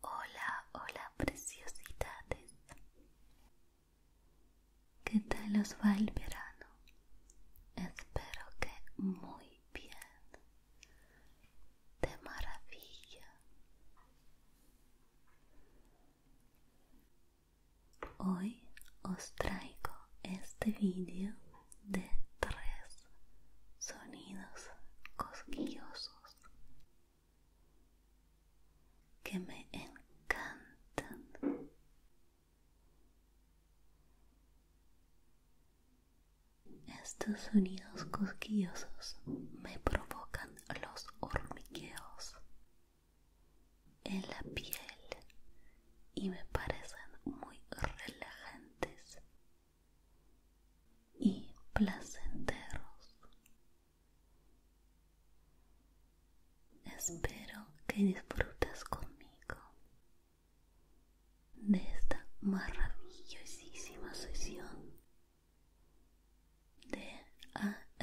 Hola, hola preciosidades. ¿Qué tal os va el verano? Espero que muy bien. De maravilla. Hoy os traigo este vídeo de tres sonidos cosquillosos que me encantan. Estos sonidos cosquillosos me provocan los hormigueos en la piel y me parecen muy relajantes y placenteros. Espero que disfrutes conmigo de esta maravillosísima sesión de ASMR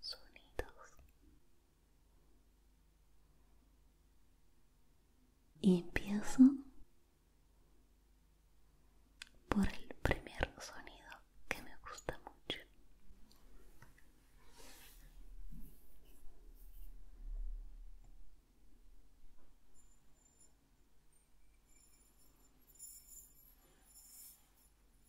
sonidos. Y empiezo por el primer sonido que me gusta mucho.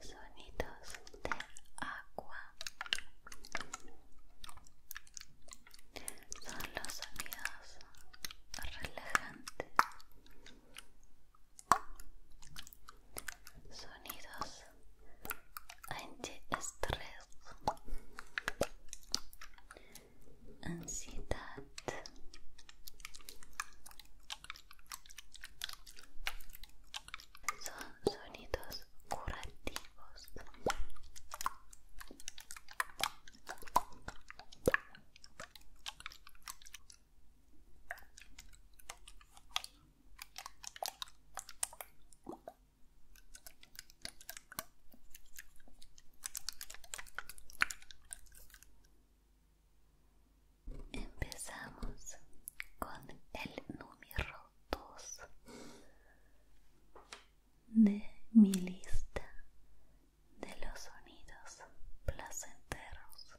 Sonidos de agua son los sonidos relajantes sonidos ante estrés ansiedad son sonidos curativos Empezamos con el número de mi lista de los sonidos placenteros.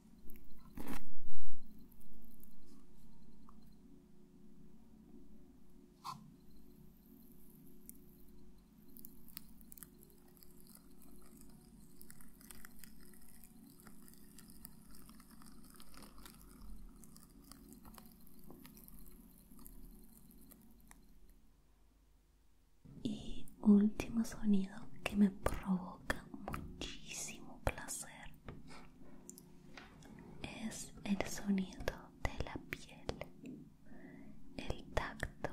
Y último sonido que me provoca muchísimo placer es el sonido de la piel, el tacto.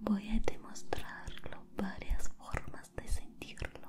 Voy a demostrarlo varias formas de sentirlo.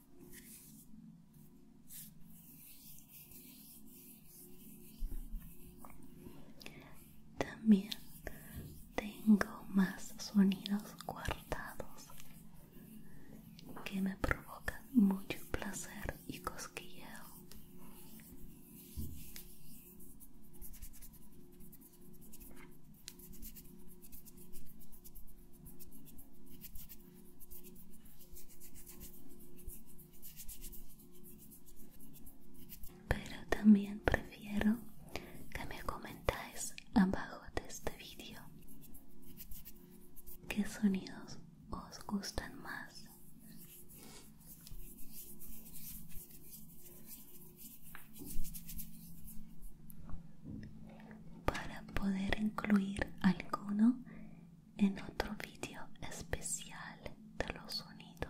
También tengo más sonidos guardados que me provocan mucho placer y cosquilleo. Pero también prefiero que me comentáis abajo de este vídeo qué sonidos os gustan más para poder incluir alguno en otro vídeo especial de los sonidos.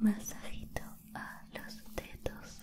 Masajito a los dedos.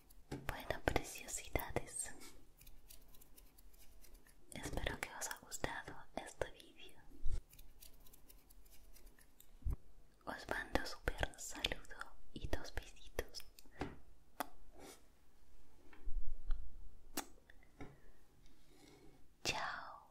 Bueno, preciosidades. Espero que os ha gustado este vídeo. Os mando super saludo y dos besitos. Chao.